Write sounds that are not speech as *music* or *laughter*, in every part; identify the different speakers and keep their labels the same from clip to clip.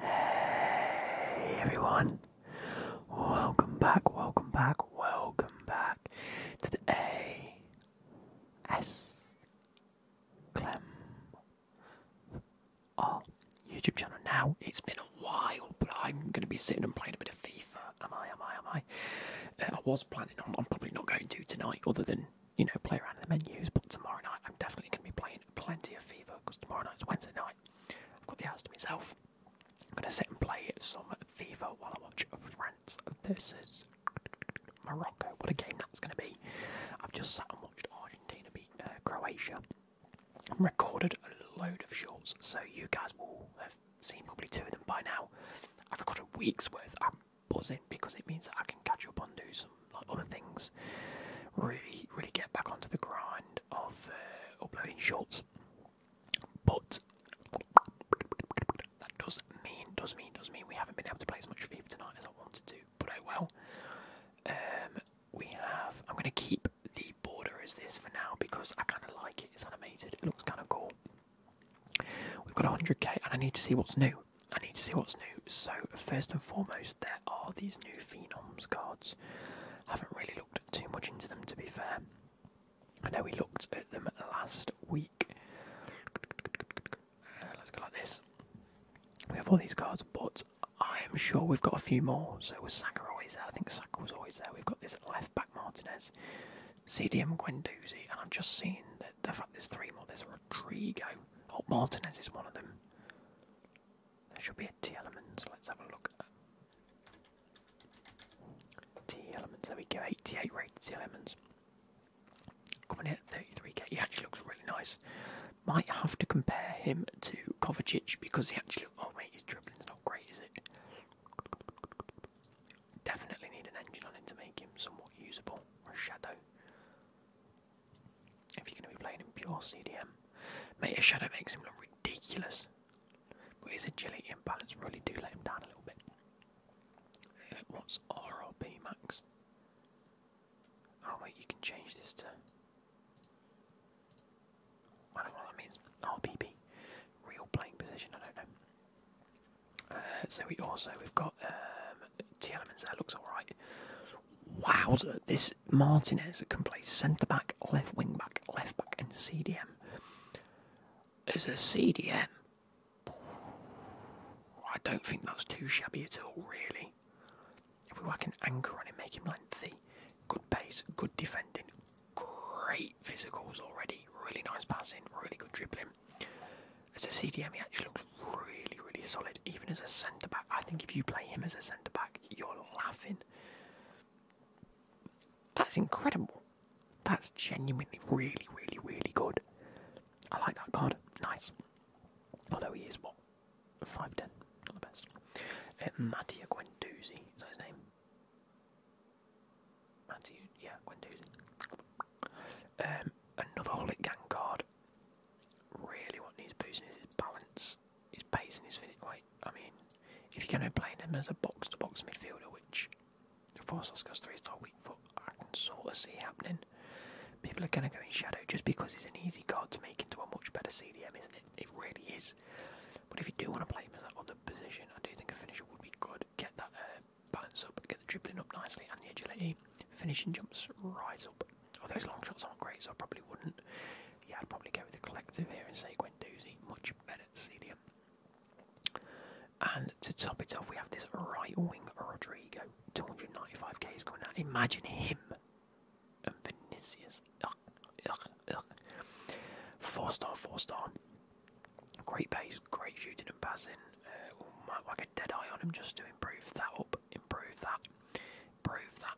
Speaker 1: Hey everyone, welcome back, welcome back, welcome back to the A S Clem oh, YouTube channel. Now it's been a while, but I'm going to be sitting and playing a bit of FIFA. Am I? Am I? Am I? Uh, I was planning on. I'm probably not going to tonight, other than you know play around in the menus. But tomorrow night, I'm definitely going to be playing plenty of FIFA because tomorrow night's Wednesday night. I've got the house to myself. I'm gonna sit and play some FIFA while I watch France versus Morocco. What a game that's gonna be! I've just sat and watched Argentina beat uh, Croatia. I've recorded a load of shorts, so you guys will have seen probably two of them by now. I've recorded a week's worth. I'm buzzing because it means that I can catch up on do some like other things, really, really get back onto the grind of uh, uploading shorts. But that does mean, does mean, does mean we haven't been able to play as much FIFA tonight as I wanted to. But oh well. Um, we have. I'm going to keep the border as this for now because I kind of like it. It's animated. It looks kind of cool. We've got 100k, and I need to see what's new. I need to see what's new. So first and foremost, there there are these new Phenoms cards. Haven't really looked too much into them to be fair. I know we looked at them last week. Uh, let's go like this. We have all these cards, but I'm sure we've got a few more. So was Saka always there? I think Saka was always there. We've got this left back Martinez, CDM Gwendouzi, and i have just seen that the fact there's three more. There's Rodrigo. Oh, Martinez is one of them. There should be a T element. Let's have a look. T element. There we go. 88 rated T elements. Coming in at 33k. He actually looks really nice. Might have to compare him to Kovacic because he actually. Oh mate, his dribbling's not great, is it? Definitely need an engine on him to make him somewhat usable. shadow. If you're going to be playing pure CDM, mate, a shadow makes him look ridiculous. But his agility and balance really do let him down a little bit. Uh, what's RRP max? Oh wait, you can change this to. I don't know what that means. RPP, real playing position. I don't know. Uh, so we also we've got um, T elements That Looks all right. Wow, this Martinez can play centre back, left wing back, left back, and CDM. As a CDM, I don't think that's too shabby at all, really. If we work an anchor on him, make him lengthy, good pace, good defending, great physicals already, really nice passing, really good dribbling. As a CDM, he actually looks really, really solid, even as a centre back. I think if you play him as a centre back, you're laughing. That's incredible. That's genuinely really, really, really good. I like that card. Nice. Although he is what? 5'10. Not the best. Uh, Mattia Guendouzi. Is his name? Mattia, yeah, Guendouzi. Um, another Holy Gang card. Really what needs boosting is his balance his pace and his finish. Like, I mean, if you're going to play him as a box to box midfielder, which for Soska's three star weak foot, I can sort of see happening. People are going to go in shadow just because it's an easy card to make into a much better CDM, isn't it? It really is. But if you do want to play him as that other position, I do think a finisher would be good. Get that uh, balance up, get the dribbling up nicely, and the agility. Finishing jumps rise up. Oh, those long shots aren't great, so I probably wouldn't. Yeah, I'd probably go with the collective here and say Gwendouzi, much better CDM. And to top it off, we have this right wing Rodrigo, 295k is coming out. Imagine him and Vinicius. Ugh, ugh, ugh. Four star, four star. Great pace, great shooting and passing. Uh, oh, might whack a dead eye on him just to improve that up, improve that, improve that,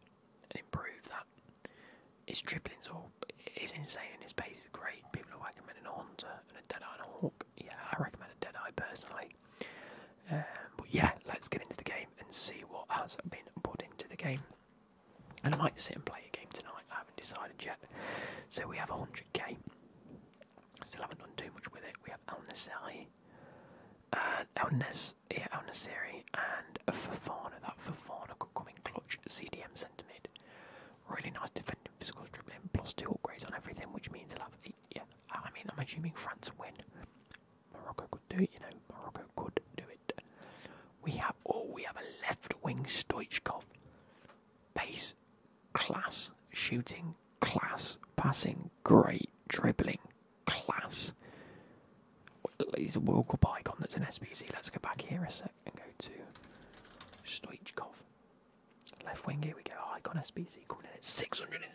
Speaker 1: and improve that. His dribbling's all is insane and his pace is great. People are recommending a Hunter and a Deadeye and a Hawk. Yeah, I recommend a Dead Eye personally. Um, but yeah, let's get into the game and see what has been put into the game. And I might sit and play a game tonight, I haven't decided yet. So we have 100k. Still haven't done too much with it. We have El Nasai. Uh, El Nes yeah, El Nassiri and Fafana. That Fafana could come in clutch. CDM centre mid. Really nice defending, physical dribbling, plus two upgrades on everything, which means he'll Yeah, I mean, I'm assuming France win. Morocco could do it, you know. Morocco could do it. We have. all. Oh, we have a left wing Stoichkov. Pace, class, shooting, class, passing, great, dribbling, class. He's a World Cup icon that's an SPC. Let's go back here a sec and go to Stoichkov. Left wing, here we go. Icon SPC. coming in at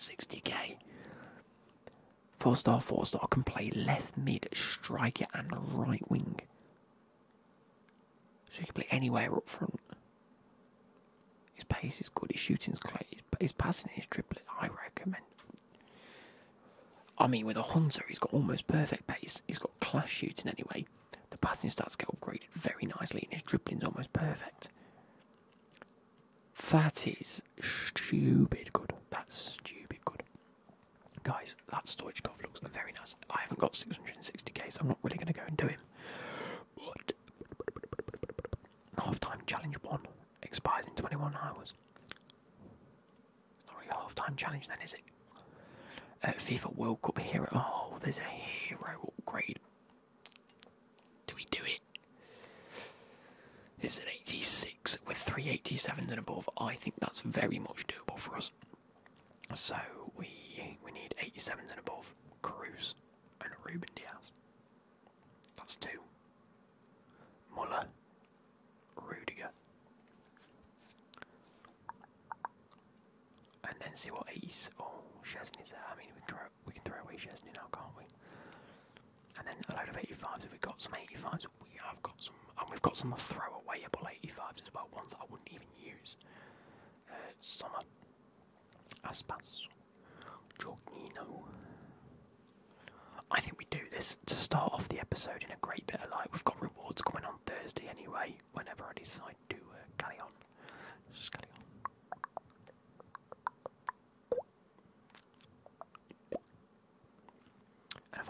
Speaker 1: 660k. Four star, four star, can play left mid, striker, and right wing. So he can play anywhere up front. His pace is good, his shooting's great, But his passing, his dribbling. I recommend I mean, with a Hunter, he's got almost perfect pace. He's got class shooting anyway. The passing to get upgraded very nicely, and his dribbling's almost perfect. That is stupid good. That's stupid good. Guys, that Stoichkov looks very nice. I haven't got 660k, so I'm not really going to go and do him. But half time challenge one expires in 21 hours not really a half-time challenge then, is it? Uh, FIFA World Cup here. Oh, there's a hero upgrade. Do we do it? It's an 86 with 387s and above. I think that's very much doable for us. So we we need 87s and above. Cruz and Ruben Diaz. That's two. Muller Rudiger. And then see what he's. Oh, Chesney's there. I mean, we can, throw, we can throw away Chesney now, can't we? And then a load of 85s. we've got some 85s, we have got some. And we've got some throw throwawayable 85s as well, ones I wouldn't even use. Uh, Summer. Aspas. Jorginho. I think we do this to start off the episode in a great bit of light. We've got rewards coming on Thursday anyway, whenever I decide to uh, carry on. Just carry on. And I've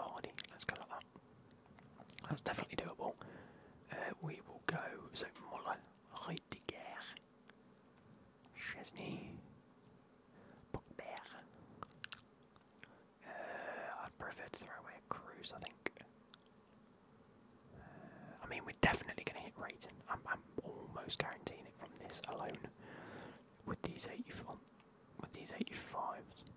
Speaker 1: let's go like that. That's definitely doable. Uh, we will go, so Muller, Rudiger, Chesney, Bogbear, uh, I'd prefer to throw away a cruise, I think. Uh, I mean, we're definitely going to hit Rayton. I'm, I'm almost guaranteeing it from this alone. With these 84, with these 85s.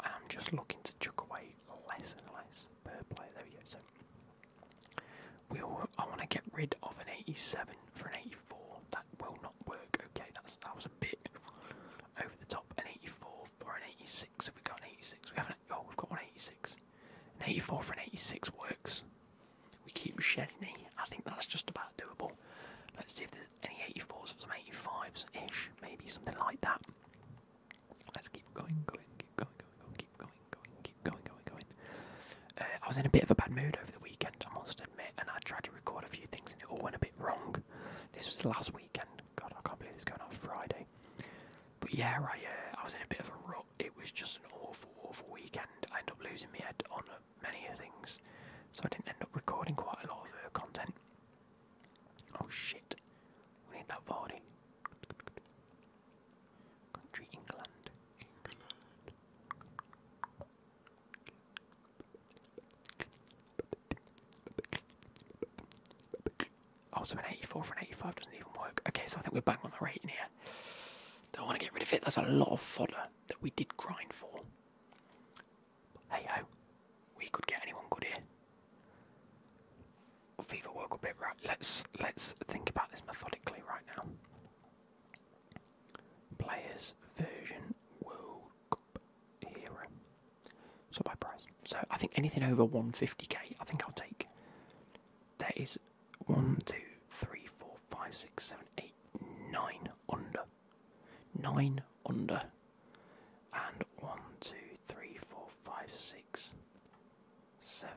Speaker 1: I'm just looking to chuck away less and less per player. There we go. So we I want to get rid of an 87 for an 84. That will not work. Okay, that's that was a bit over the top. An 84 for an 86. Have we got an 86? We haven't. Oh, we've got one 86. An 84 for an 86 works. We keep Chesney. I think that's just about doable. Let's see if there's any 84s or some 85s ish, maybe something like that. Let's keep going, going, keep going, going, going, keep going going, going, going, going, uh, going. I was in a bit of a bad mood over the weekend, I must admit, and I tried to record a few things and it all went a bit wrong. This was the last weekend. God, I can't believe it's going on Friday. But yeah, I, I was in a bit of a rut. It was just an awful, awful weekend. I ended up losing my head on uh, many things, so I didn't end up recording quite a lot of uh, content. Oh shit, we need that body. Country England. Oh, so an 84 for an 85 doesn't even work. Okay, so I think we're bang on the rate in here. Don't want to get rid of it. That's a lot of fodder that we did grind for. Hey ho, we could get anyone good here. FIFA World Cup bit right. Let's let's think about this methodically right now. Players version World Cup Hero. So by price. So I think anything over 150k, I think I'll take. There is one, two, three, four, five, six, seven, eight, nine under. Nine under. And one, two, three, four, five, six, seven,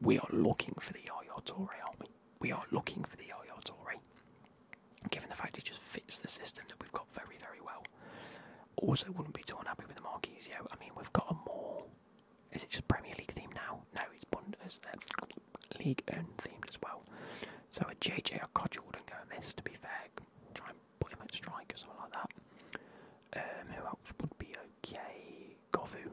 Speaker 1: we are looking for the Yaya Toure, aren't we? We are looking for the Yaya Toure. Given the fact he just fits the system that we've got very, very well. Also wouldn't be too unhappy with the Marquisio. I mean we've got a more is it just Premier League themed now? No, it's Bundes uh, League and themed as well. So a JJ Okocha wouldn't go amiss to be fair. Try and put him at strike or something like that. Um, who else would be okay? Govu.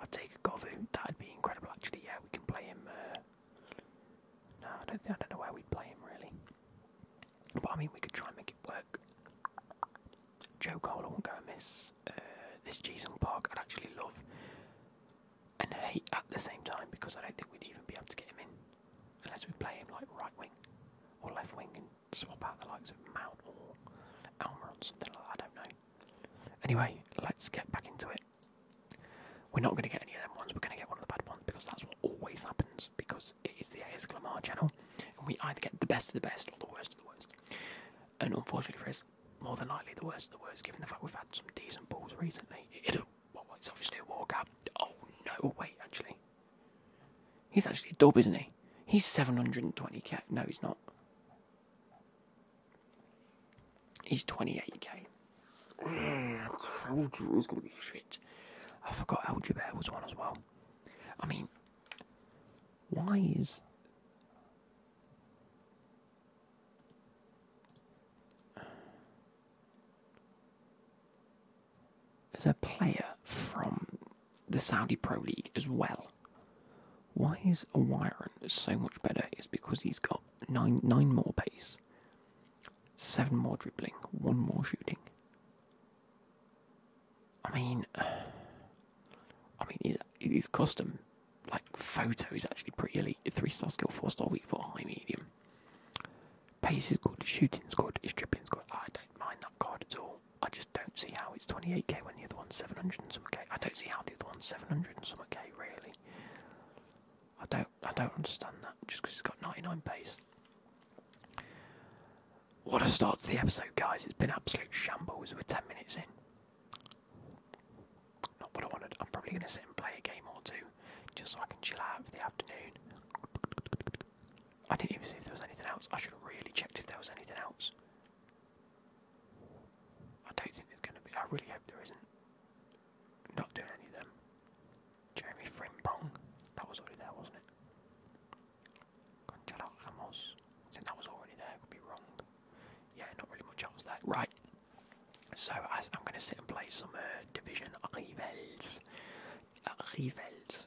Speaker 1: I'd take a Govu. That'd be incredible, actually. Yeah, we can play him. Uh, no, I don't, think, I don't know where we'd play him really. But I mean, we could try and make it work. Joe Cole, won't go and miss. Uh, this Jisung Park, I'd actually love and hate at the same time because I don't think we'd even be able to get him in unless we play him like right wing or left wing and swap out the likes of Mount or Almer or something like that. I don't know. Anyway, let's get back into it. We're not going to get any of them ones, we're going to get one of the bad ones because that's what always happens because it is the AS Glamar channel and we either get the best of the best or the worst of the worst. And unfortunately for us, more than likely the worst of the worst given the fact we've had some decent balls recently. It, it, well, it's obviously a walkout. Oh no, wait, actually. He's actually a dub, isn't he? He's 720k. No, he's not. He's 28k. Mm, I going to be shit. I forgot El Jubair was one as well. I mean, why is. There's a player from the Saudi Pro League as well. Why is O'Wieron so much better is because he's got nine, nine more pace, seven more dribbling, one more shooting. I mean, *sighs* I mean, his custom, like photo, is actually pretty elite. Three star skill, four star weak, four high medium. Pace is good, shooting's good, his dribbling's good. I don't mind that card at all. I just just don't see how it's 28k when the other one's 700 k. I don't see how the other one's 700 and some k really. I don't I don't understand that just because it's got 99 pace. What a start to the episode, guys! It's been absolute shambles. We're 10 minutes in. Not what I wanted. I'm probably going to sit and play a game or two, just so I can chill out for the afternoon. I didn't even see if there was anything else. I should have really checked if there was anything else. I don't think there's going to be. I really hope there isn't. Not doing any of them. Jeremy Frimpong. That was already there, wasn't it? Gonzalo Ramos. I that was already there. Could be wrong. Yeah, not really much else there. Right. So I'm going to sit and play some uh, Division Rivals. Rivals.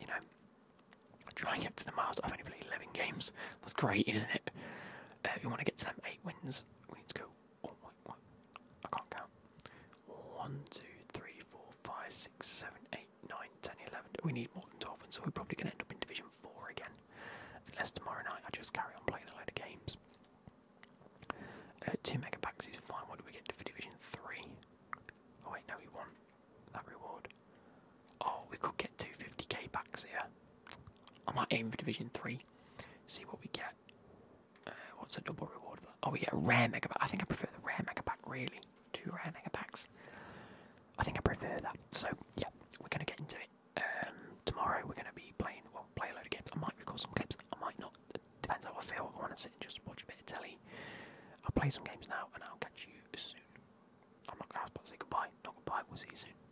Speaker 1: You know, I try and get to the Mars. I've only played 11 games. That's great, isn't it? Uh, we want to get to them eight wins. We need to go. I can't count. One, two, three, four, five, six, seven, eight, nine, ten, eleven. We need more than twelve wins, so we're probably going to end up in Division Four again, unless tomorrow night I just carry on playing a load of games. Uh, two mega packs is fine. What do we get for Division Three? Oh wait, no, we won that reward. Oh, we could get 250k backs here. I might aim for Division 3. See what we get. Uh, what's a double reward Oh, we get a rare mega pack. I think I prefer the rare mega pack, really. Two rare mega packs. I think I prefer that. So, yeah, we're going to get into it. Um, tomorrow we're going to be playing, well, play a load of games. I might record some clips. I might not. depends how I feel. I want to sit and just watch a bit of telly. I'll play some games now, and I'll catch you soon. I'm not going to say goodbye. Not goodbye. We'll see soon.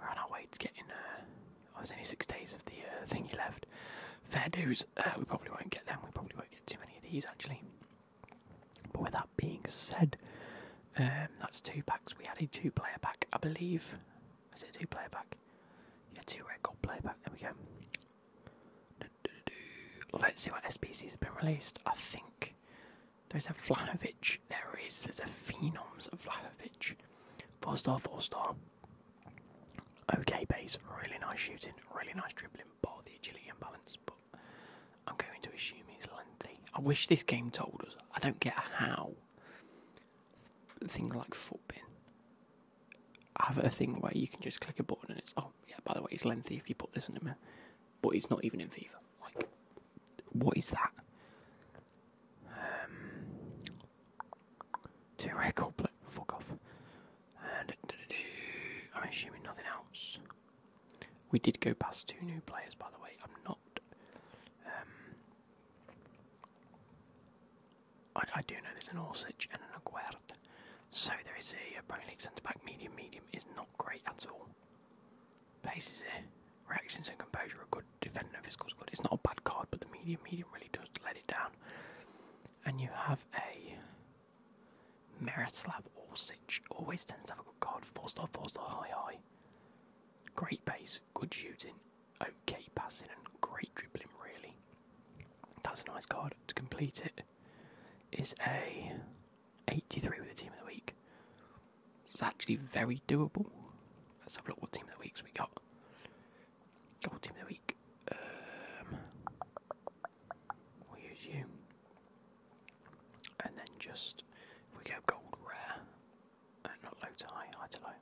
Speaker 1: We're on our way to getting. Uh, oh, there's only six days of the uh, thingy left. Fair dues. Uh, we probably won't get them. We probably won't get too many of these actually. But with that being said, um, that's two packs. We had a two-player pack, I believe. Was it a two-player pack? Yeah, two record gold player pack. There we go. Let's see what SPCs have been released. I think there's a Vlahovic. There is. There's a Phenoms Vlahovic. Four star, four star. Okay, base. Really nice shooting. Really nice dribbling. Bar the agility and balance. But I'm going to assume he's lengthy. I wish this game told us. I don't get how things like footbin have a thing where you can just click a button and it's oh yeah by the way it's lengthy if you put this in a minute but it's not even in FIFA like what is that um, two record Fuck off. Uh, I'm assuming nothing else. We did go past two new players, by the way. I'm not. Um, I, do know there's an Orsich and an Aguerd. So there is a, a Premier League centre back medium. Medium is not great at all. Pace is here. Reactions and composure are good. defender, and physical is good. It's not a bad card, but the medium medium really does let it down. And you have a Merislav Orsic. Always tends to have a good card. Four star, four star, high high. Great base, good shooting, okay passing, and great dribbling. Really, that's a nice card. To complete it, is a 83 with the team of the week. It's actually very doable. Let's have a look what team of the weeks we got. Gold team of the week. Um, we use you. And then just, if we go gold rare, uh, not low to high, high to low.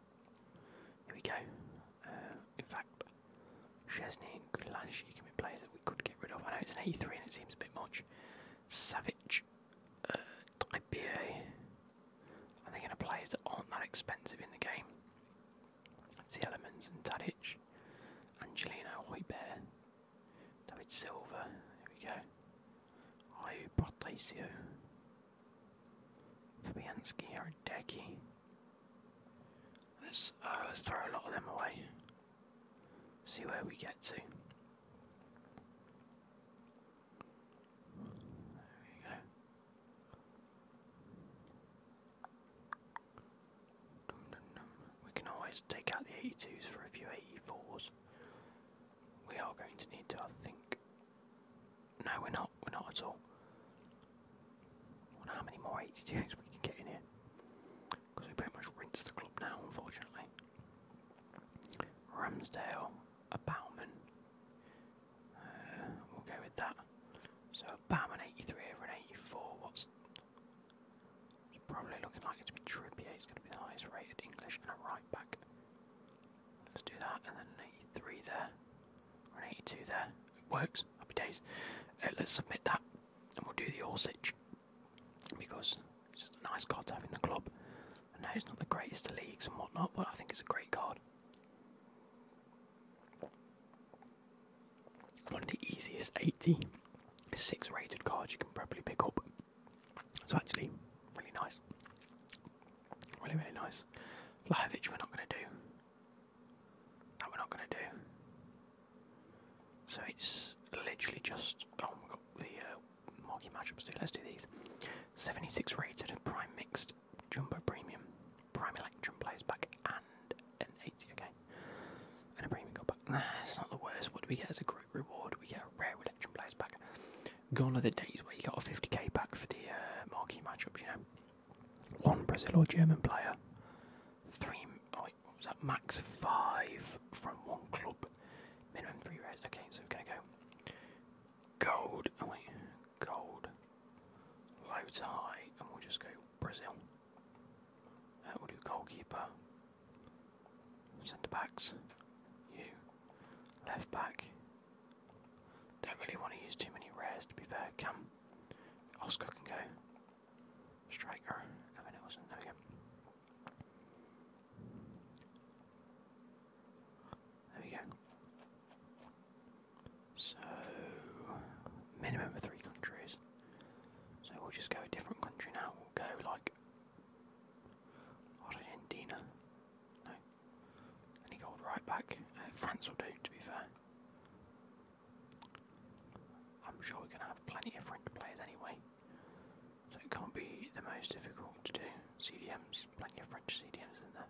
Speaker 1: Here we go. Uh, in fact, Chesney and Gulash, She can be players that we could get rid of. I know it's an 83 and it seems a bit much. Savage uh, IPA. I'm thinking of players that aren't that expensive in the game. It's the Elements and Tadic, Angelino, Hoybear, David Silva, There we go. Ayu Portasio, Fabianski, Haradecki. Let's, uh, let's throw a lot of them away. See where we get to. We can always take out the 82s for a few 84s. We are going to need to, I think. No, we're not. We're not at all. wonder how many more 82s we can get in here. Because we pretty much rinsed the club now, unfortunately. Ramsdale, a Bauman. Uh, we'll go with that. So a 83 over 84. What's probably looking like it's going to be Trippier. He's going to be the highest rated English and a right back. Let's do that, and then 83 there, 82 there. It works. Happy days. Uh, let's submit that, and we'll do the Orsich because it's a nice card to have in the club. I know it's not the greatest of leagues and whatnot, but I think it's a great card. One of the easiest 86 rated cards you can probably pick up. So actually, really nice. Really, really nice. Vlahovic we're not going to do. That we're not going to do. So it's literally just, oh my god, the uh, marquee matchups do. Let's do these. 76 rated prime mixed jumbo premium, prime electrum plays back and an 80, okay. And a premium got back. Nah, it's not the worst. What do we get as a group reward? We get a rare electrum plays back. Gone are the days where you got a 50k back for the uh, marquee matchups, you know. One Brazil or German player, Three. Oh, what was that? Max five from one club, minimum three rares. Okay, so we're gonna go gold. Oh wait, gold. Loads high, and we'll just go Brazil. Uh, will do goalkeeper. Centre backs. You. Left back. Don't really want to use too many rares to be fair. Come, Oscar can go. Striker. Everyone else in there. There we go. So, minimum of three countries. So we'll just go a different country now. We'll go like Argentina. No. And he right back. Uh, France will do, to be fair. I'm sure we're going to have plenty of French players anyway. So it can't be the most difficult to do. CDMs there's plenty of French stadiums, isn't there?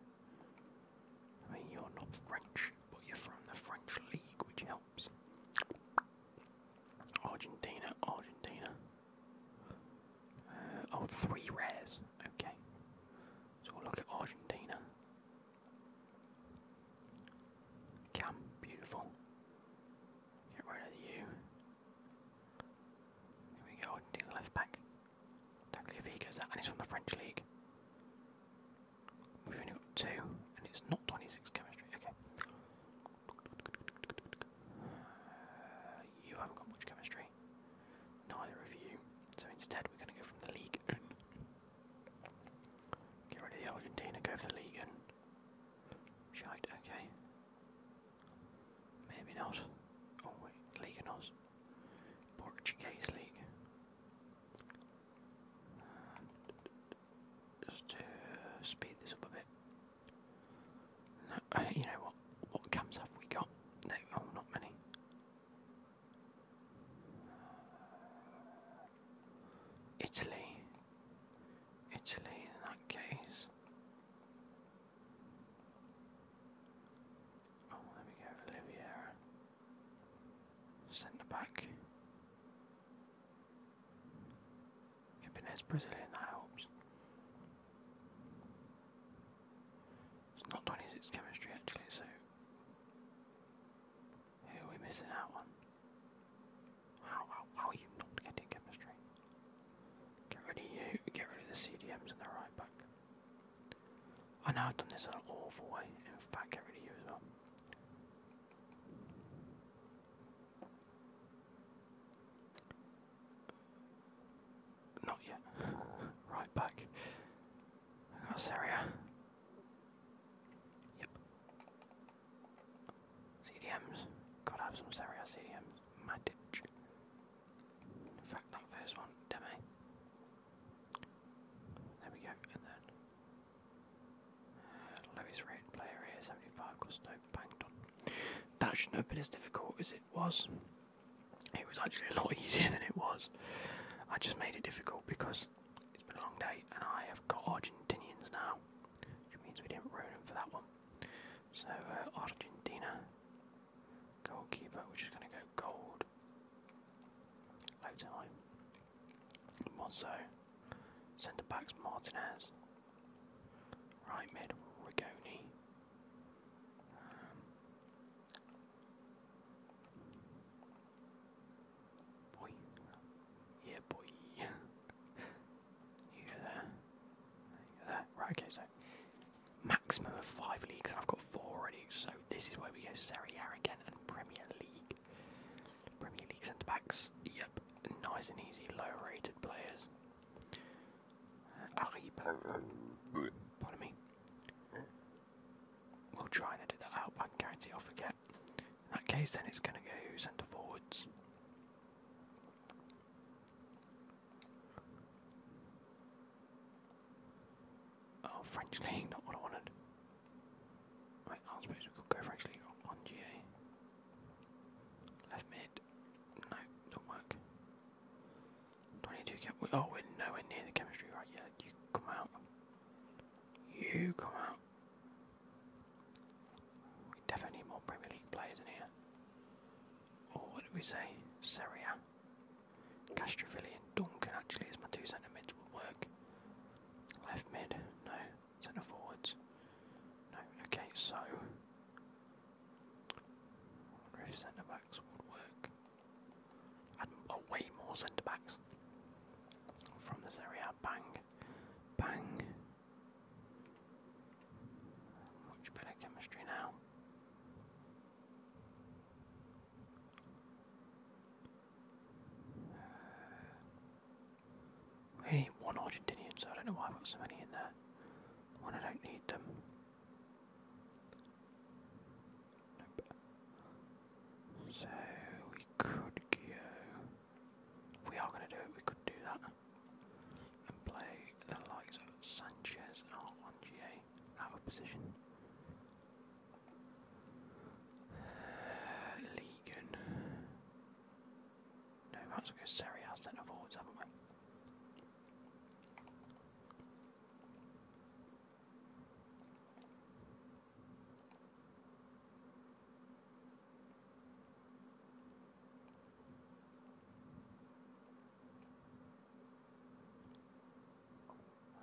Speaker 1: I mean, you're not French, but you're from the French League, which helps. Argentina, Argentina. Uh, oh, three rares. Okay. So we'll look at Argentina. Cam, beautiful. Get rid of you. Here we go, Argentina left back. Tagliafico's that, and he's from the French league. We've only got two, and it's not 26 chemistry. Okay. Uh, you haven't got much chemistry. Neither of you. So instead, we're going to go from the league. Get rid of the Argentina, go for the league. Shite, okay. Maybe not. Oh wait, Liga Portuguese league. Uh, just to speed this up a bit. *laughs* you know what? What camps have we got? No, oh, not many. Italy. Italy in that case. Oh, there we go, Oliviera. Centre back. Jimenez Brazilian, that helps. It's not 26 chemistry actually, so. Who are we missing out on? How, how, are you not getting chemistry? Get rid of you, get rid of the CDMs and the right back. I know I've done this in an awful way. In fact, get rid of you as well. Not yet. *laughs* right back. I got Syria. Yep. CDMs. Gotta have some Syria uh, CDMs. Matic fact, not first one, dummy. There we go, and then uh, lowest player here, 75, because no banked on. That shouldn't have been as difficult as it was. It was actually a lot *laughs* easier than it was. I just made it difficult because it's been a long day and I have got Argentinians now, which means we didn't ruin them for that one. So, uh, Argentina, Goalkeeper, which is going to go gold. Low time. Mozzo. Centre backs Martinez. Right mid Rigoni. Um, boy. Yeah, boy. *laughs* you go there. You go there. Right, okay, Maximum of five leagues, and I've got four already, so this is where we go Serie A again and Premier League. Premier League centre backs, yep, nice and easy, low rated players. Uh, pardon me. We'll try and edit that out, I can guarantee I'll forget. In that case, then it's going to go centre forwards. Oh, French League, not what I wanted. Right, I was go French on GA. Left mid. No, don't work. 22 cap. Oh, we're nowhere near the chemistry right yet. You come out. You come out. We definitely need more Premier League players in here or what did we say? Seria. Castrovilli and Duncan actually is my two centre mids would work. Left mid, no. Centre forwards. No, okay, so I wonder if centre backs would work. I'd oh, way more centre backs from this area. Bang, bang. Much better chemistry now. We need one Argentinian, so I don't know why I've got so many in there. When I don't need them. So we could go. we are going to do it, we could do that. And play the likes of Sanchez and Rongier out of position. Uh, No, we might as go Serie A centre forwards, haven't we?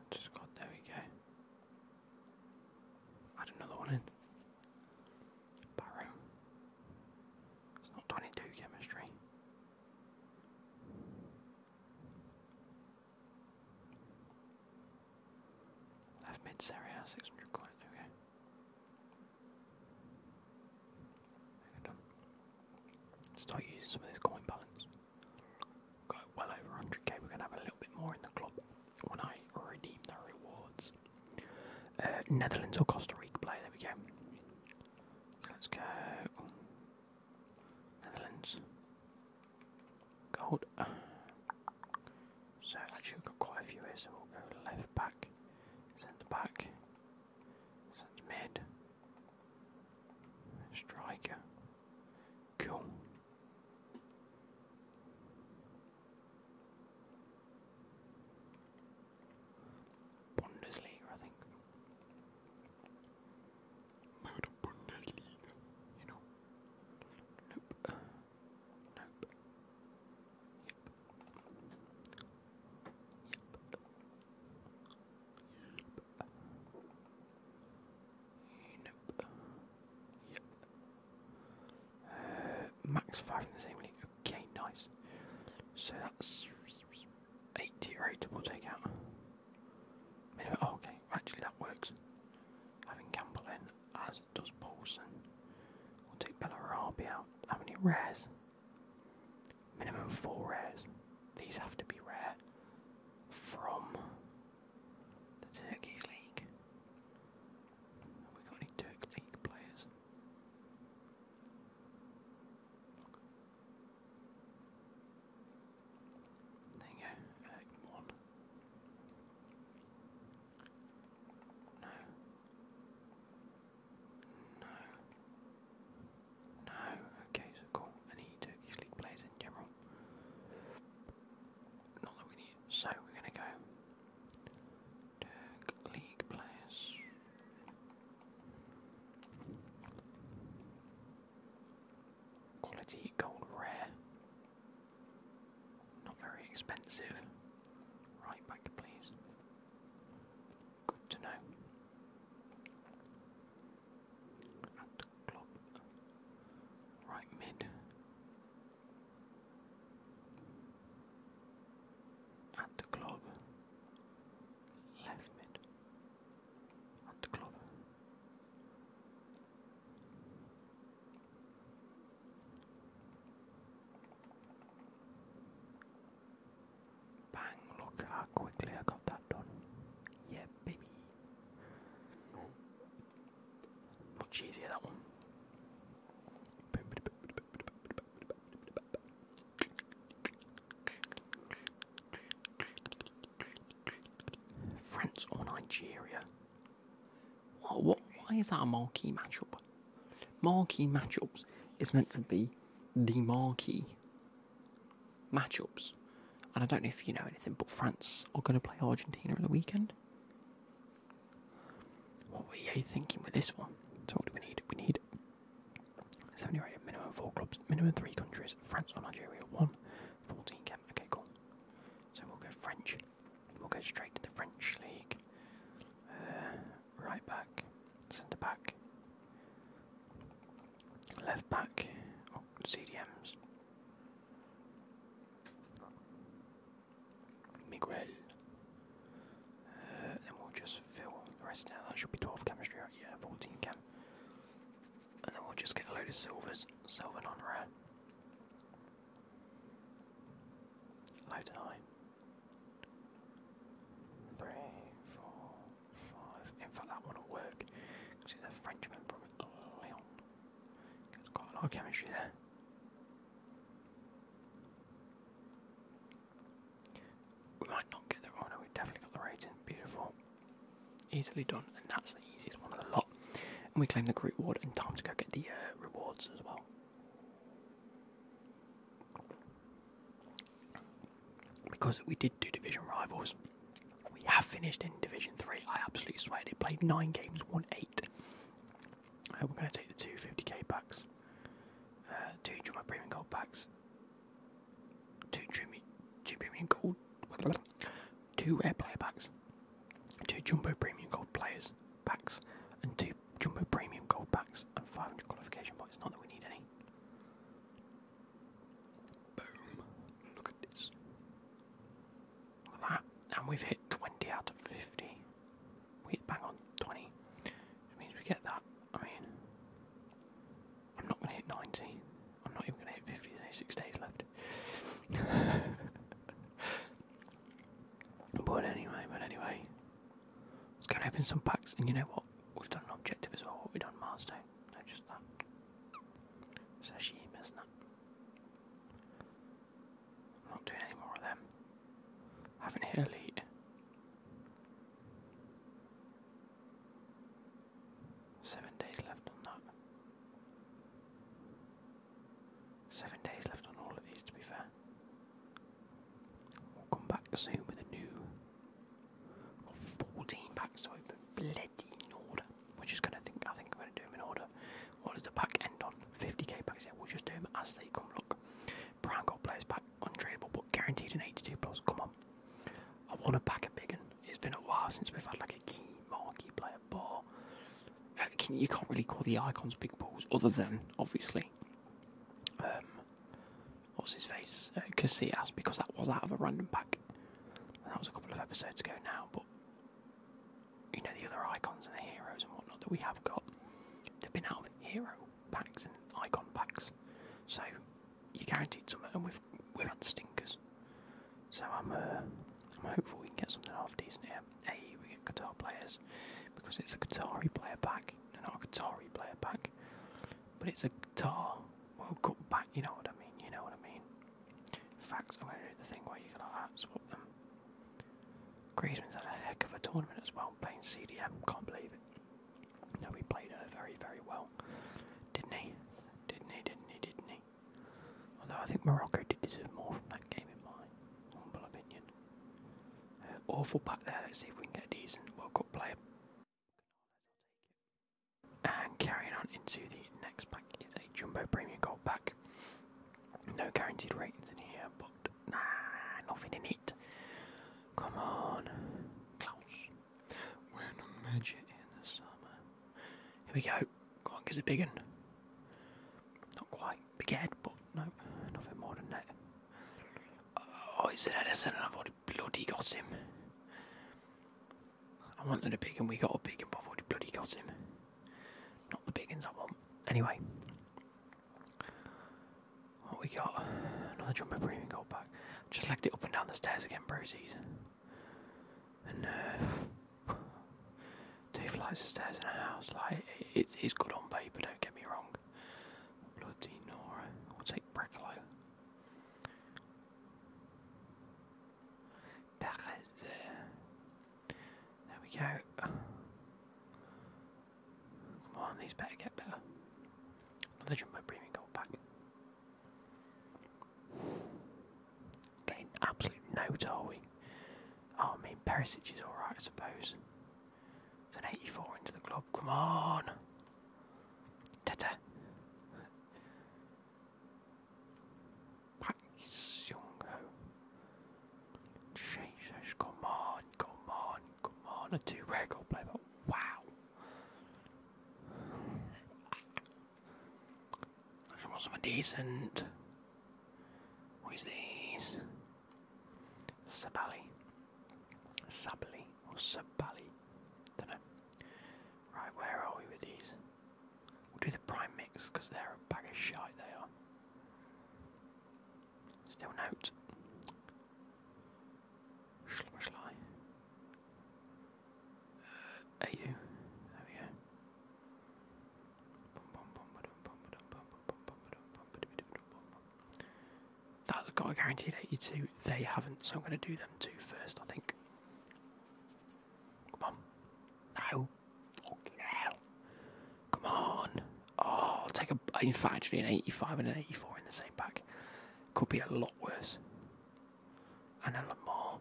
Speaker 1: just got there we go. Add another one in. Barrow. It's not twenty two chemistry. Left mid area, six hundred coins, okay. Done. Start using some of this coin balance. Got well over 100k. We're gonna have a little bit more in the club when I redeem the rewards. Uh, Netherlands or Costa Rica play. There we go. Let's go. Netherlands. Gold. So actually we've got quite a few here, so we'll go left back, centre back, centre mid, Striker. Cool. Bundesliga, I think. Mode Bundesliga, you know. Nope. Uh, nope. Uh, max five in the same league. Okay, nice. So that's eighty or eight we'll take out. Oh, okay, actually that works. Having Campbell in, as does Paulson. We'll take Bellarabia out. How many rares? Minimum four rares. These have to be rare from the Turkish League. we got any Turk League players? There you go, one. No. No. No, okay, cool. Any Turkish league players in general? Not that we need. So we're gonna go. Turk league players. Quality gold rare. Not very expensive. Right back, please. Good to know at the club, right mid, at the club, left mid, at the club. Bang, look how quickly I got that done. Yeah, baby. Much oh, easier that one. France or Nigeria? What, why is that a marquee matchup? Marquee matchups is meant to be the marquee matchups. And I don't know if you know anything, but France are going to play Argentina in the weekend. What are you thinking with this one? So what do we need? We need 70 minimum four clubs, minimum three countries, France or Algeria, one, 14 camp. Okay, cool. So we'll go French. We'll go straight to the French league. Uh, right back, centre back. Left back, CDMs. Miguel. Uh, then we'll just fill the rest now. That should be 12 chemistry, right? Yeah, 14 chem. And then we'll just get a load of silvers. Silver non rare. Low to nine. Three, four, in fact, that one will work because it's a Frenchman from Lyon. There's quite a lot of chemistry there. We might not get the oh no, we definitely got the rating. Beautiful. Easily done, and that's the easiest one of the lot. And we claim the group award in time to go get the uh, rewards as well. Because we did do division rivals, we have finished in Division 3. I absolutely swear they played 9 games, won 8. Uh, we're going to take the two fifty 50k packs, uh, two jumbo Premium Gold packs, two jumbo two Premium Gold, two Rare Player packs, two Jumbo Premium Gold Players packs, and two Jumbo Premium Gold packs, and 500 qualification points. Not that we need any. Boom. Look at this. Look at that. And we've hit 20 out of 50. We hit bang on 20. Which means we get that. I mean, I'm not going to hit 90. I'm not even going to hit 50. six days left. *laughs* but anyway, but anyway. it's going to and open some packs. And you know what? We've done an objective as well. We've done milestone. No, just that. Sashimi, isn't it? not doing any more of them. I have elite. Seven days left on that. Seven days left on all of these, to be fair. We'll come back soon with a new. Got 14 packs to open. Bloody in order. We're just gonna think. I think we're gonna do them in order. What does the pack end on? 50k packs. Yeah, we'll just do them as they come. Look, Brown got players back, untradeable, but guaranteed an 82 plus. Come on, I want to pack a big one. It's been a while since we've had like a key marquee player, but uh, can, you can't really call the icons big balls, other than obviously. Um, what's his face? Uh, Casillas, because that was out of a random pack. That was a couple of episodes ago now, but you know the other icons and the heroes and whatnot that we have got. They've been out of hero packs and icon packs, so you are guaranteed some, and we've we've had stinkers. So I'm uh, I'm hopeful we can get something half decent here. Hey, we get guitar players because it's a guitar player pack, not a guitar player pack, but it's a guitar World Cup pack. You know what I mean? You know what I mean. Facts, I'm going to do the thing where you can like, swap them. Griezmann's had a heck of a tournament as well, playing CDM, can't believe it. No, he played very, very well, didn't he? Didn't he, didn't he, didn't he? Although I think Morocco did deserve more from that game in my humble opinion. Uh, awful back there, let's see if we can get a decent World Cup player. And carrying on into the next pack is a Jumbo Premium Gold pack. No guaranteed ratings in here, but nah, nothing in it. Come on, Klaus. We're in a in the summer. Here we go. Go on, a big one. Not quite big head, but no, nothing more than that. Oh, it's an Edison, and I've already bloody got him. I wanted a big and we got a big and I've already bloody got him. Not the big ones I want. Anyway. What we got? Another jumper premium gold back. Just legged it up and down the stairs again, Brosies. And uh, two flights of stairs in a house. Like it is good on paper, don't get me wrong. Bloody Nora. I'll take Brecolo. There we go. Come on, these better get better. Another jumbo premium gold pack. Getting absolute note, are oh, we? I mean, Perisic is alright, I suppose. It's an 84 into the club. Come on! Tete! Pak Seung Ho. Jesus, come on, come on, come on. A two record player, wow. I just want decent. What is these? Sabali. Sabali or Sabali. Dunno. Right, where are we with these? We'll do the prime mix because they're a bag of shite, they are. Still note. Schlummerschlei. Uh, AU. There we go. That's got a guaranteed 82. They haven't, so I'm going to do them two first, I think. Come on. No. Fucking hell. Come on. Oh, take a. In an 85 and an 84 in the same pack. Could be a lot worse. And then Lamar.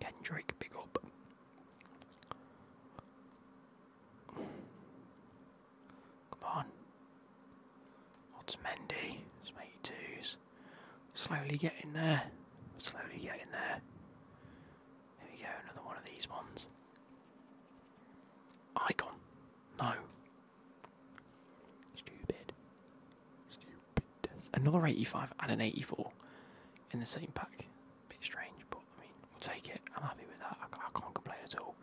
Speaker 1: Kendrick, big up. Come on. What's Mendy? It's 82s. Slowly getting there. Slowly getting there. Here we go, another one of these ones. Icon. No. Stupid. Stupid. Another 85 and an 84 in the same pack. Bit strange, but I mean, we'll take it. I'm happy with that. I, can't complain at all.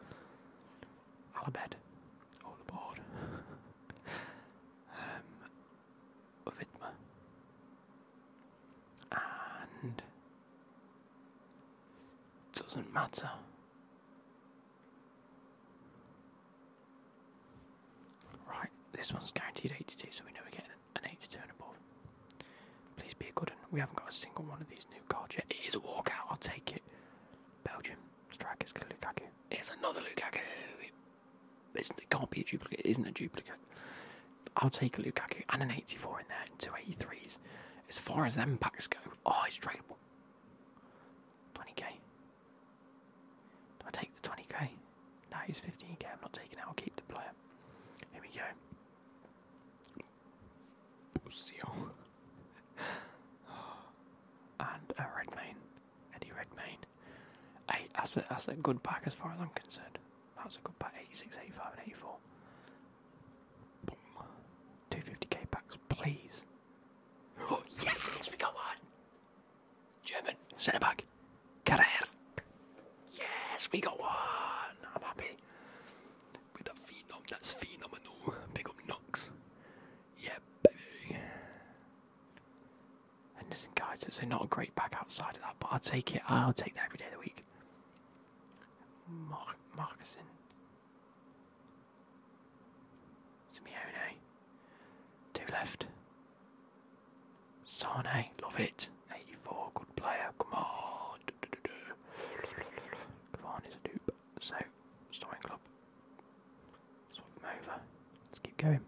Speaker 1: Alabed. All aboard. *laughs* Um, of Vidma. And it doesn't matter. Right, this one's guaranteed 82, so we know we're getting an 82 and above. Please be a good one. We haven't got a single one of these new cards yet. It is a walkout, I'll take it. Belgium, strikers, Lukaku. It's another Lukaku! It can't be a duplicate. It isn't a duplicate. I'll take a Lukaku and an 84 in there and two As far as them packs go, oh, it's tradable. 20k. Do I take the 20k? No, he's 15k. I'm not taking it. I'll keep the player. Here we go. *gasps* and a Redmayne. Eddie Redmayne. Eight, that's a, that's a good pack as far as I'm concerned. That's a good pack, 86, 85 and 84. Boom. 250k packs, please. Oh, yes, we got one! German, centre back, Carrer. Yes, we got one! I'm happy. With a phenom, that's phenomenal. Big up Knox. Yeah, baby. Henderson guys, so not a great back outside of that, but I'll take it. I'll take that every day of the week. Mar Marcuson. Simeone. Two left. Sane, love it. 84, good player, come on. Du -du -du -du. Come on, is a dupe. So, starting club. Swap him over. Let's keep going.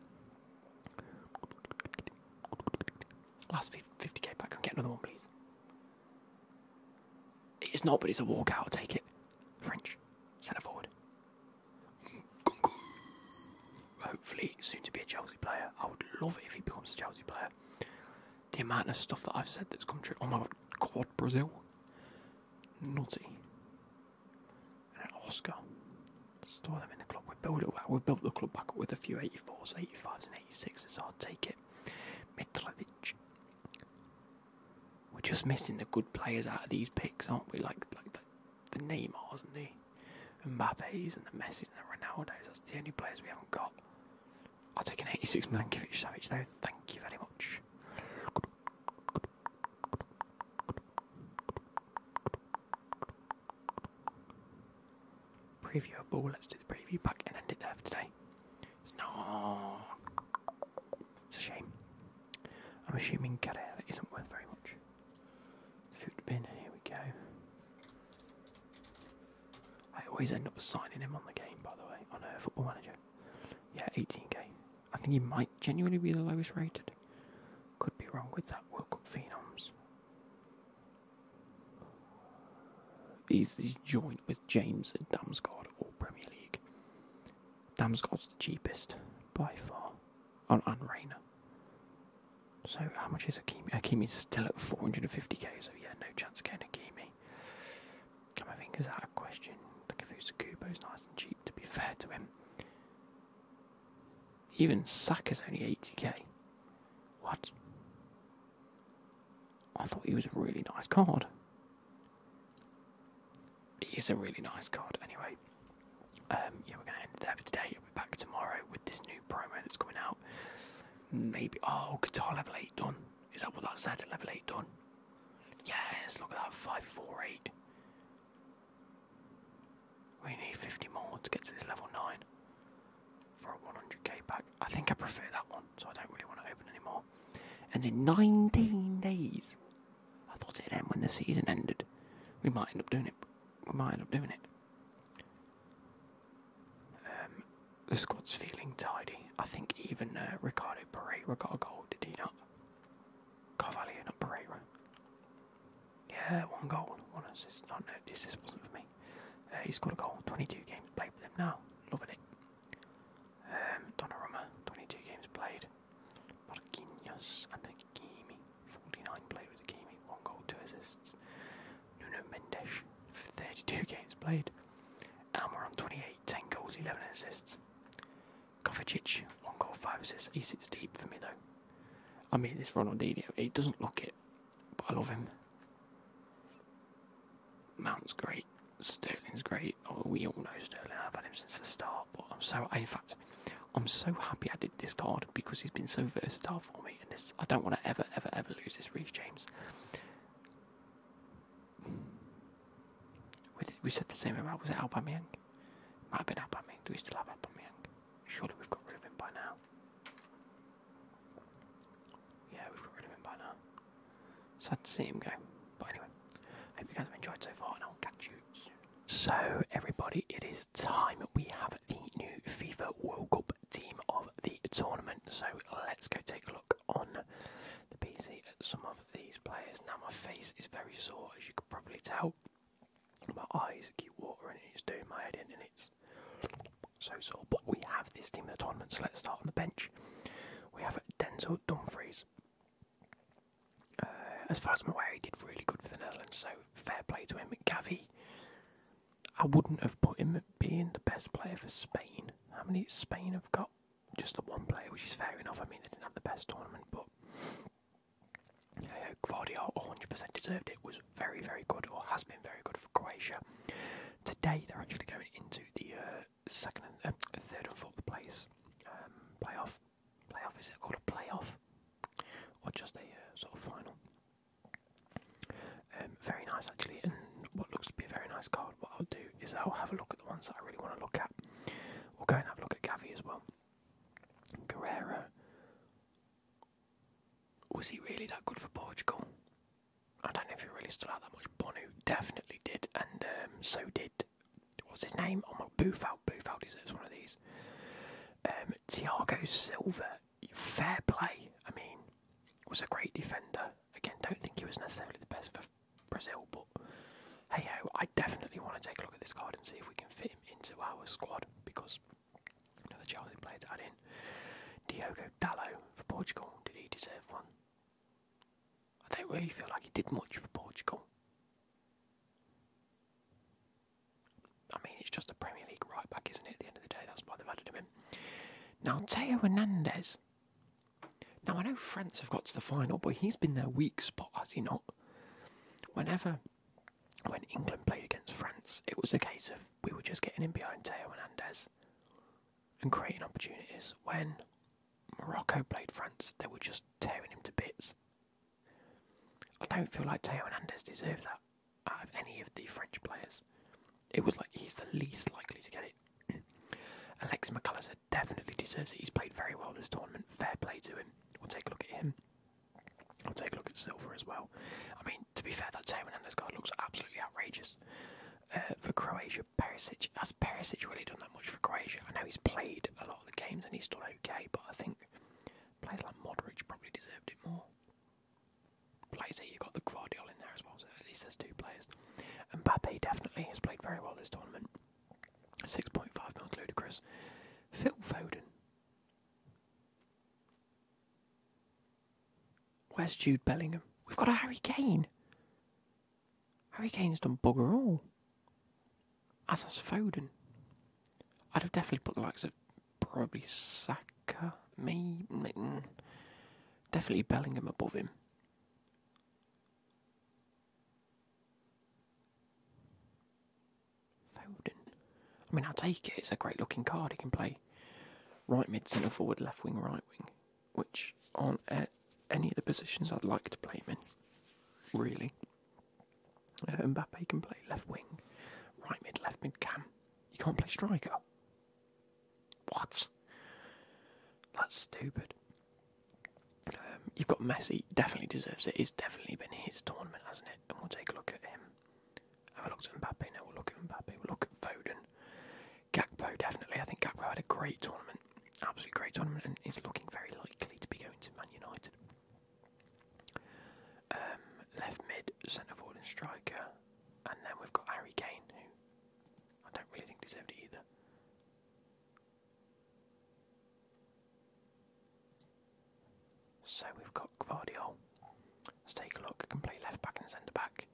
Speaker 1: Last 50k back. I'm getting another one, please? It's not, but it's a walkout. I'll take it. French. Centre forward. Hopefully, soon to be a Chelsea player. I would love it if he becomes a Chelsea player. The amount of stuff that I've said that's come true. Oh my god, Quad Brazil. Naughty. Oscar. Store them in the club. We built it well. We built the club back up with a few 84s, 85s, and 86s. I'll take it. Mitrovic. We're just missing the good players out of these picks, aren't we? Like like the, the Neymars and the Mbappes and the Messis and the Ronaldos. That's the only players we haven't got. I'll take an 86 Milankovic Savage though. Thank you very much. Preview a ball, let's do the preview pack and end it there for today. No, it's a shame. I'm assuming Carrera isn't worth very much. Food bin, here we go. I always end up signing him on the game, by the way, on a football manager. Yeah, 18k. I think he might genuinely be the lowest rated. Could be wrong with that World Cup Phenoms. He's, joined with James and Damsgaard, all Premier League. Damsgaard's the cheapest by far, on and So how much is Akimi? Akimi's still at 450k, so yeah, no chance of getting Akimi. Come, I think is out of question. The Kavusa Kubo's nice and cheap, to be fair to him. Even is only 80k. What? I thought he was a really nice card. It is a really nice card, anyway. Um, yeah, we're going to end there for today. I'll be back tomorrow with this new promo that's coming out. Maybe. Oh, guitar level 8 done. Is that what that said? Level 8 done. Yes, look at that. 548. We need 50 more to get to this level 9 for a 100k pack. I think I prefer that one, so I don't really want to open anymore. And in 19 days. I thought it'd end when the season ended. We might end up doing it. We might end up doing it. Um, the squad's feeling tidy. I think even uh, Ricardo Pereira got a goal, did he not? Carvalho, Pereira. Yeah, one goal, one assist. Oh no, this assist wasn't for me. Uh, He's got a goal. 22 games played with him now. Loving it. Um, Donnarumma, 22 games played. Marquinhos and Hakimi, 49 played with Hakimi, one goal, two assists. Nuno Mendes, 32 *laughs* games played. Almiron, 28, 10 goals, 11 assists. Kovacic, one goal, five assists. He sits deep for me though. I mean, this Ronaldinho, it doesn't look it but I love him. Mount's great, Sterling's great. Oh, we all know Sterling. I've had him since the start. But I'm so, in fact, I'm so happy I did this card because he's been so versatile for me. And this, I don't want to ever, ever, ever lose this reach, James. We, said the same about was it Aubameyang? Might have been Aubameyang. Do we still have Aubameyang? Surely we've got rid of him by now. Yeah, we've got rid of him by now. Sad to see him go. But anyway, hope you guys have enjoyed so far, and I'll catch you soon. So, everybody, it is time. We have the new FIFA World Cup team of the tournament. So, let's go take a look on the PC at some of these players. Now, my face is very sore, as you can probably tell. My eyes keep watering, and it's doing my head in, and it's so so. But we have this team of the tournament, so let's start on the bench. We have Denzel Dumfries. Uh, as far as I'm aware, he did really good for the Netherlands, so fair play to him. Gavi, I wouldn't have put him being the best player for Spain. How many Spain have got? Just the one player, which is fair enough. I mean, they didn't have the best tournament, but. Yeah, Guardiola 100% deserved it. Was very, very good, or has been very good for Croatia. Today they're actually going into the uh, second and uh, third and fourth place um, playoff. Playoff is it called a playoff, or just a uh, sort of final? Um, very nice actually, and what looks to be a very nice card. What I'll do is I'll have a look at the ones that I really want to look at. We'll go and have a look at Gavi as well. Guerrero. Was he really that good for Portugal? I don't know if he really still had that much. Bonu definitely did, and um, so did what's his name? Oh my, Boofout. Boofout deserves one of these. Um, Thiago Silva, fair play. I mean, was a great defender. Again, don't think he was necessarily the best for Brazil, but hey ho, I definitely want to take a look at this card and see if we can fit him into our squad because Another Chelsea player to add in. Diogo Dallo for Portugal. Did he deserve one? I don't really feel like he did much for Portugal. I mean, it's just a Premier League right back, isn't it? At the end of the day, that's why they've added him in. Now, Teo Hernandez. Now, I know France have got to the final, but he's been their weak spot, has he not? Whenever, when England played against France, it was a case of we were just getting in behind Teo and Hernandez and creating opportunities. When Morocco played France, they were just tearing him to bits. I don't feel like Teo Hernandez deserved that out of any of the French players. It was like he's the least likely to get it. *clears throat* Alex McAllister definitely deserves it. He's played very well this tournament. Fair play to him. We'll take a look at him. we will take a look at Silver as well. I mean, to be fair, that Tame Hernandez card looks absolutely outrageous uh, for Croatia. Perisic, has Perisic really done that much for Croatia? I know he's played a lot of the games and he's done okay, but I think players like Modric probably deserved it more. Players here, you've got the Guardiola in there as well, so at least there's two players. And Mbappe definitely has played very well this tournament. 6.5 mil ludicrous. Phil Foden. Where's Jude Bellingham? We've got a Harry Kane. Harry Kane's done bugger all. As has Foden. I'd have definitely put the likes of probably Saka, me, definitely Bellingham above him. Foden. I mean, I'll take it. It's a great looking card. He can play right mid, centre forward, left wing, right wing, which aren't at any of the positions I'd like to play him in, really. Uh, Mbappe can play left wing, right mid, left mid, cam. You can't play striker. What? That's stupid. Um, you've got Messi, definitely deserves it. It's definitely been his tournament, hasn't it? And we'll take a look at him. Have a look at Mbappe now. We'll look at Mbappe. We'll look at Foden. Gakpo, definitely. I think Gakpo had a great tournament. Absolutely great tournament and he's looking very likely to be going to Man United. Um, left mid, centre forward and striker. And then we've got Harry Kane, who I don't really think deserved it either. So we've got Guardiola. Let's take a look. Can play left back and centre back.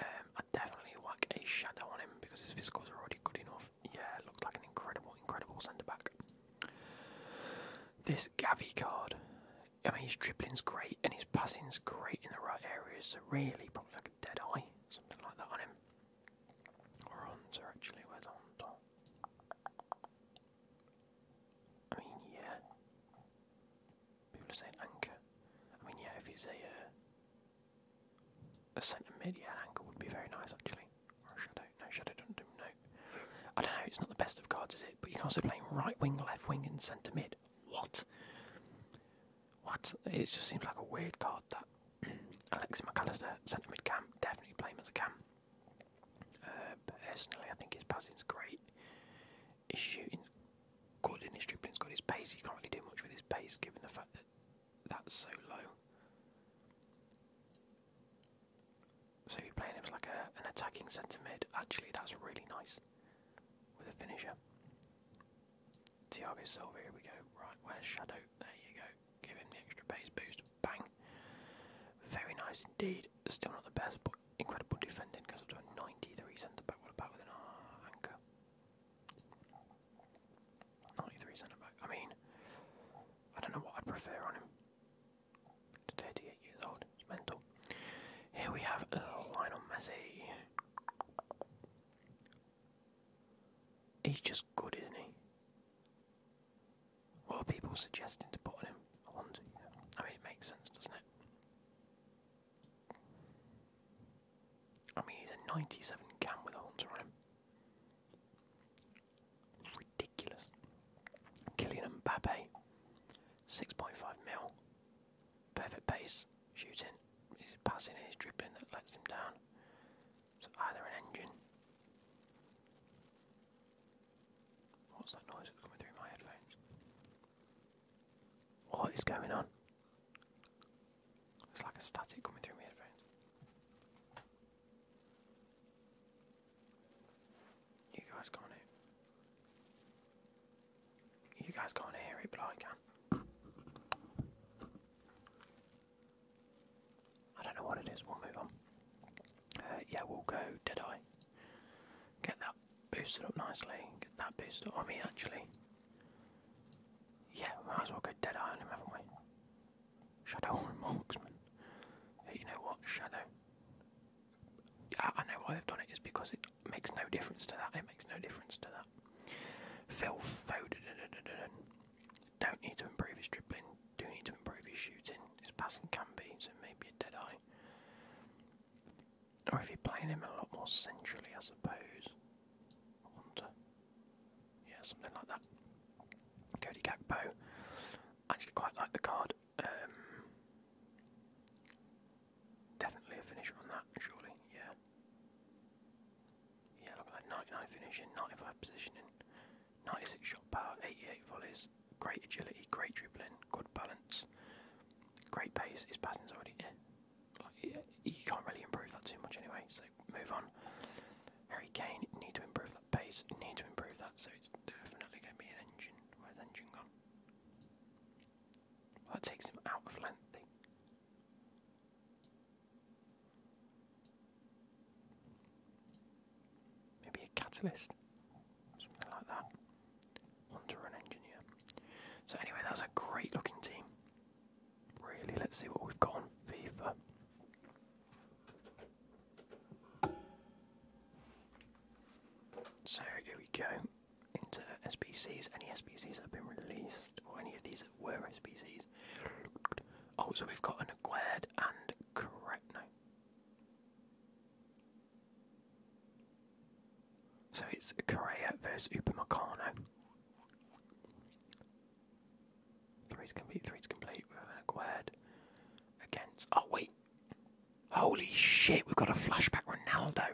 Speaker 1: Um, i definitely want a shadow on him because his physicals are already good enough. Yeah, looks like an incredible, incredible centre back. This Gavi card. I mean, his dribbling's great and his passing's great in the right areas. So really, probably like a dead eye, something like that on him. Or Hunter actually. Where's Hunter? I mean, yeah. People are anchor. I mean, yeah, if he's a uh, a centre mid, yeah, an anchor would be very nice actually. Or shadow. No, shadow doesn't do I don't know. It's not the best of cards, is it? But you can also play right wing, left wing, and centre mid. What? What? It just seems like a weird card that. *clears throat* Alexis McAllister, centre mid cam, definitely play him as a cam. Uh, personally, I think his passing is great. He's shooting. Gordon, good dribbling. He's got His pace, He can't really do much with his pace given the fact that that's so low. So if you're playing him as like an attacking centre mid, actually that's really nice with a finisher. Thiago Silva, here we go. Right, where's Shadow? There you go. Give him the extra pace boost. Bang. Very nice indeed. Still not the best, but incredible defending because up to a 93 centre back. What about with an uh, anchor? 93 centre back. I mean, I don't know what I'd prefer on him. 38 years old, it's mental. Here we have Lionel Messi. He's just good, isn't he? What are people suggesting to put on him? I wonder. I mean, it makes sense, doesn't it? I mean, he's a 97 cam with a Hunter on him. Ridiculous. Kylian Mbappe, 6.5 mil. Perfect pace, shooting, he's passing he's dribbling that lets him down. So either an engine. What's that noise coming through my headphones? What is going on? It's like a static coming through my headphones. You guys can't hear You guys can't hear it, but I can. I don't know what it is, we'll move on. Uh, yeah, we'll go Deadeye. Get that boosted up nicely. Get that boosted up. I mean, actually, yeah, might as well go dead eye on him, haven't we? Shadow *laughs* marksman. you know what? Shadow. I, I know why they've done it is because it makes no difference to that. It makes no difference to that. Phil Foden. Don't need to improve his dribbling. Do need to improve his shooting. His passing can be, so maybe a dead eye. Or if you're playing him a lot more centrally, I suppose. Yeah, something like that. Cody Gakpo. actually quite like the card. Um, definitely a finisher on that, surely. Yeah. Yeah, look at that. 99 finishing, 95 positioning, 96 shot power, 88 volleys, great agility, great dribbling, good balance. Great pace. His passing's already. Eh, you can't really improve that too much anyway. So move on. Harry Kane need to improve that pace. Need to improve that. So it's definitely going to be an engine. Where's the engine gone? that takes him out of lengthy. Eh? Maybe a catalyst, something like that onto an engineer. So anyway, that's a great looking team. Really, let's see what we've got on FIFA. So here we go into SPCs. Any SPCs that have been released, or any of these were SBCs. Oh, so we've got an Aguerd and Corretno. So it's Correa versus Upamecano. Three's complete, three's complete. We're having a quad against. Oh, wait. Holy shit, we've got a flashback Ronaldo.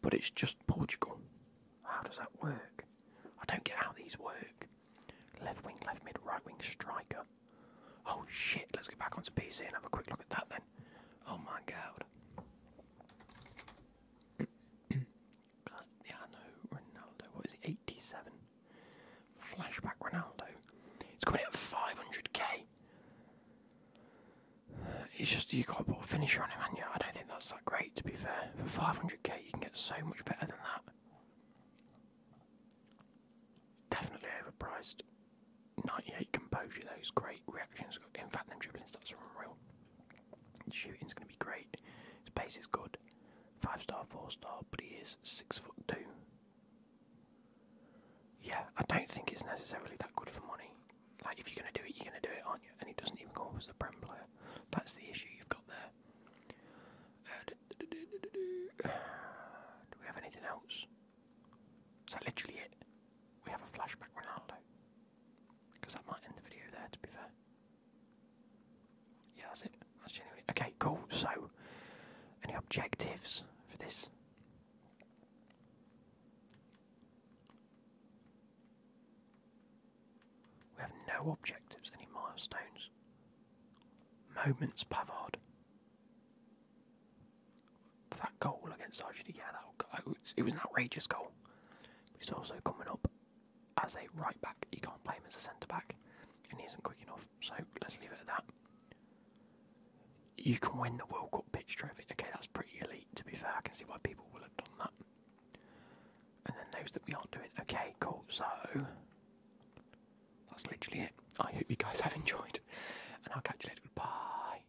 Speaker 1: But it's just Portugal. How does that work? I don't get how these work. Left wing, left mid, right wing, striker. Oh shit, let's get back onto PC and have a quick look at that then. Oh my god. Cristiano Ronaldo, what is he? 87. Flashback Ronaldo. It's coming at 500k. It's just you got to put a finisher on him, and yeah, I don't think that's that great. To be fair, for 500k you can get so much better than that. Definitely overpriced. 98 composure, those great reactions. In fact, them dribbling stats are unreal. shooting's going to be great. His pace is good. Five star, four star, but he is six foot two. Yeah, I don't think it's necessarily that good for money. Like, if you're going to do it, you're going to do it, on not you? And he doesn't even go up as a Prem player. That's the issue you've got there. Uh, do we have anything else? Is that literally it? We have a flashback Ronaldo. Because I might end the video there, to be fair. Yeah, that's it. That's genuinely. Okay, cool. So, any objectives for this? We have no objectives, any milestones. Moments Pavard that goal against Argentina, yeah, it was an outrageous goal. he's also coming up as a right back. You can't play him as a centre back, and he isn't quick enough. So let's leave it at that. You can win the World Cup pitch trophy. Okay, that's pretty elite. To be fair, I can see why people will have done that. And then those that we aren't doing. Okay, cool. So that's literally it. I hope you guys have *laughs* enjoyed, and I'll catch you later. Bye.